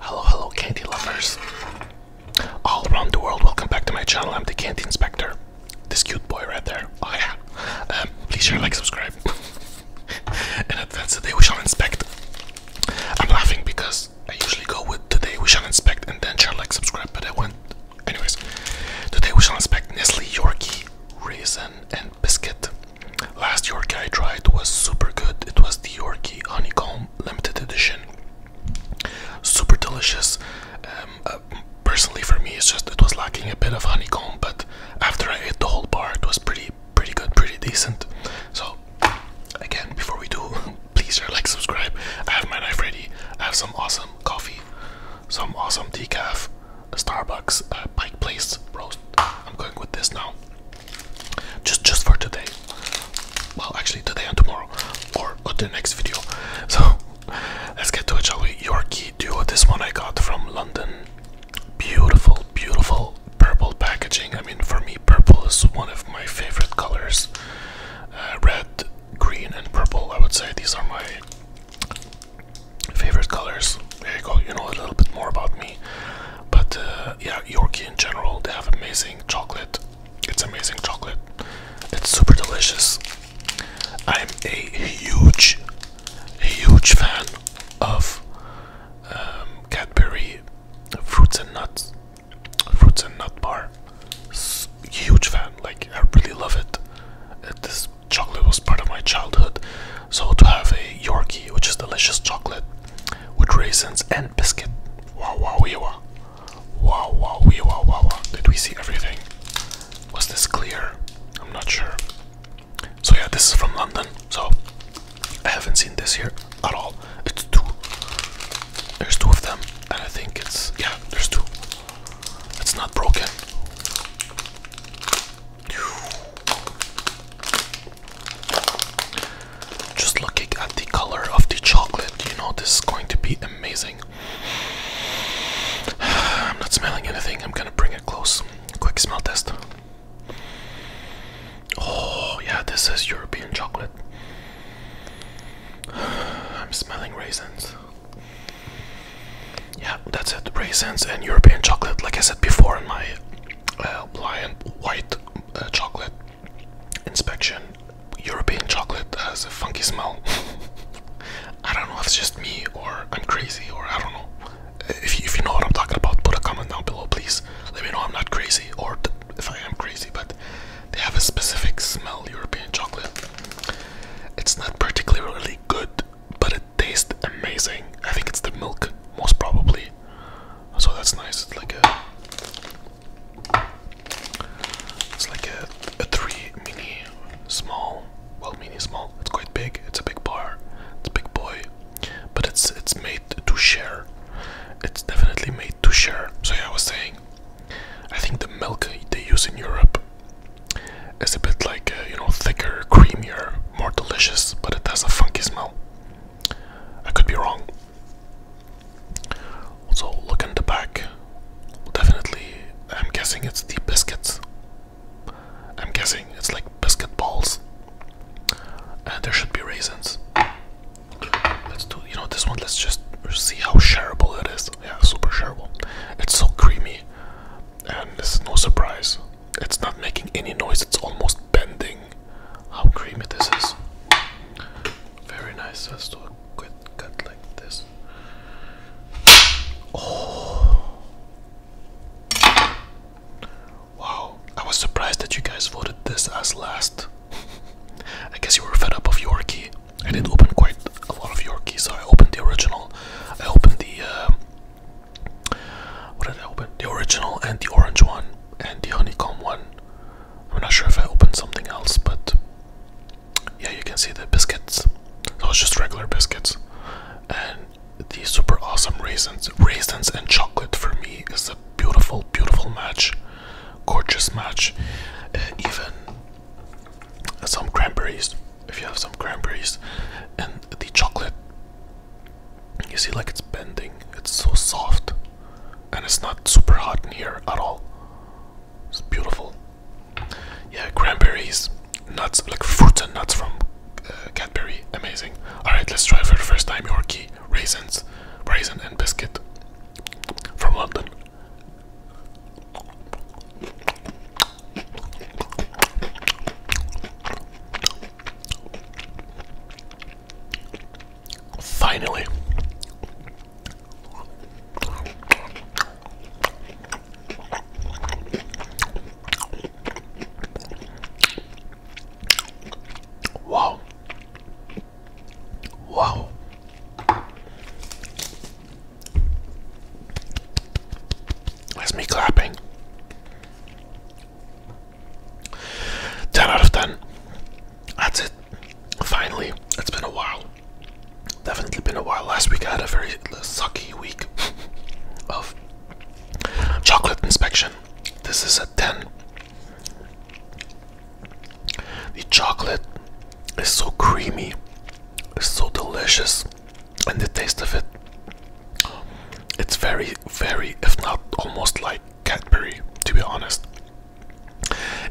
Hello, hello, candy lovers. All around the world, welcome back to my channel. I'm the Candy Inspector. This cute boy right there. Oh, yeah. Um, please share, like, subscribe. and that's today we shall inspect. I'm laughing because I usually go with today we shall inspect and then share, like, subscribe, but I went. Anyways, today we shall inspect Nestle Yorkie Raisin and Biscuit Last Yorkie I tried was super good. It was the Yorkie Honeycomb Limited Edition. Super delicious. Um, uh, personally, for me, it's just it was lacking a bit of honeycomb, but after I ate the whole bar, it was pretty, pretty good, pretty decent. So, again, before we do, please share, like, subscribe. I have my knife ready. I have some awesome coffee, some awesome decaf a Starbucks uh, Pike Place roast. I'm going with this now. Just just for today. Well, actually today and tomorrow, or, or the next video. So let's get to it, shall we? Yorkie Duo. This one I got from London. Beautiful, beautiful purple packaging. I mean, for me, purple is one of my favorite colors. Uh, red, green, and purple. I would say these are my Favorite colors. There you go. You know a little bit more about me. But uh, yeah, Yorkie in general, they have amazing chocolate. It's amazing chocolate. It's super delicious. I'm a huge, huge fan of um, Cadbury fruits and nuts, fruits and nut bar. huge fan. Like I really love it. It is chocolate was part of my childhood. So to have a Yorkie, which is delicious chocolate with raisins and biscuit. Wow, wow, wee, wow. Wow, wow, wee, wow, wow. Did we see everything? Was this clear? I'm not sure. So yeah, this is from London. So I haven't seen this here at all. It's two. There's two of them, and I think it's yeah. There's two. It's not broken. Just looking at the color of the chocolate, you know, this is going to be amazing. I'm not smelling anything, I'm gonna bring it close. Quick smell test. Oh, yeah, this is European chocolate. I'm smelling raisins yeah, that's it. Raisins and European chocolate, like I said before in my uh, lion white uh, chocolate inspection. European chocolate has a funky smell. I don't know if it's just me or I'm crazy or I don't know. Uh, if if you know what I'm talking about, put a comment down below, please. Let me know I'm not crazy or if I am crazy, but they have a specific smell, European chocolate. It's not particularly good, but it tastes amazing. I think it's the milk, most probably. So that's nice. It's like a, it's like a, a three mini small. Well, mini small. It's quite big. It's a big bar. It's a big boy, but it's it's made to share. It's definitely made to share. So yeah, I was saying, I think the milk they use in Europe is a bit like, uh, you know, thicker, creamier, more delicious, but it has a funky smell. I could be wrong. Also, look in the back. Definitely, I'm guessing it's the biscuits. I'm guessing it's like biscuit balls. And there should be raisins. Let's do, you know, this one, let's just see how shareable it is. Yeah, super shareable. It's so creamy, and this is no surprise. It's not making any noise, it's almost bending. How creamy this is. Very nice. Let's do a quick cut like this. Oh. Wow. I was surprised that you guys voted this as last. I guess you were fed up of Yorkie. I did open quite a lot of Yorkie, so I opened the original. I opened the um, what did I open? The original and the orange one and the honeycomb one. I'm not sure if I opened something else, but yeah, you can see the biscuits. Those it's just regular biscuits, and the super awesome raisins, raisins and chocolate for me is a beautiful, beautiful match gorgeous match. Uh, even some cranberries, if you have some cranberries, and the chocolate, you see, like it's bending, it's so soft, and it's not super hot in here at all. It's beautiful. Yeah, cranberries, nuts, like fruits and nuts from uh, Cadbury, amazing. Alright, let's try for the first time, your key. Raisins, Raisin and Biscuit from London. Finally. Wow. Wow. That's me clapping. 10 out of 10. That's it. Finally, it's been a while. Definitely been a while. Last week I had a very sucky week of chocolate inspection. This is a 10. The chocolate is so creamy, it's so delicious, and the taste of it. It's very, very, if not almost like Cadbury, to be honest.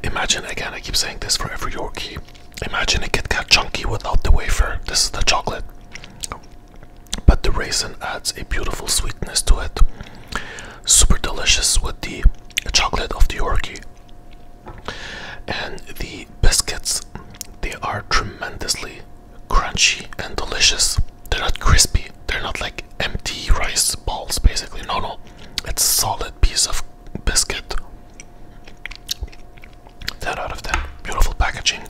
Imagine again, I keep saying this for every Yorkie. Imagine a Kit Kat chunky without the wafer. This is the chocolate but the raisin adds a beautiful sweetness to it. Super delicious with the chocolate of the Yorkie. And the biscuits, they are tremendously crunchy and delicious. They're not crispy, they're not like empty rice balls basically. No, no, it's a solid piece of biscuit. 10 out of 10. Beautiful packaging.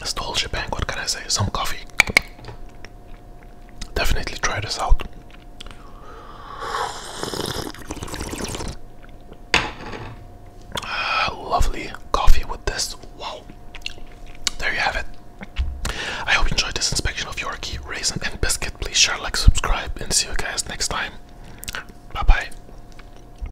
It's the whole shebang, what can I say? Some coffee. Definitely try this out. Uh, lovely coffee with this. Wow. There you have it. I hope you enjoyed this inspection of your key Raisin, and Biscuit. Please share, like, subscribe, and see you guys next time. Bye bye.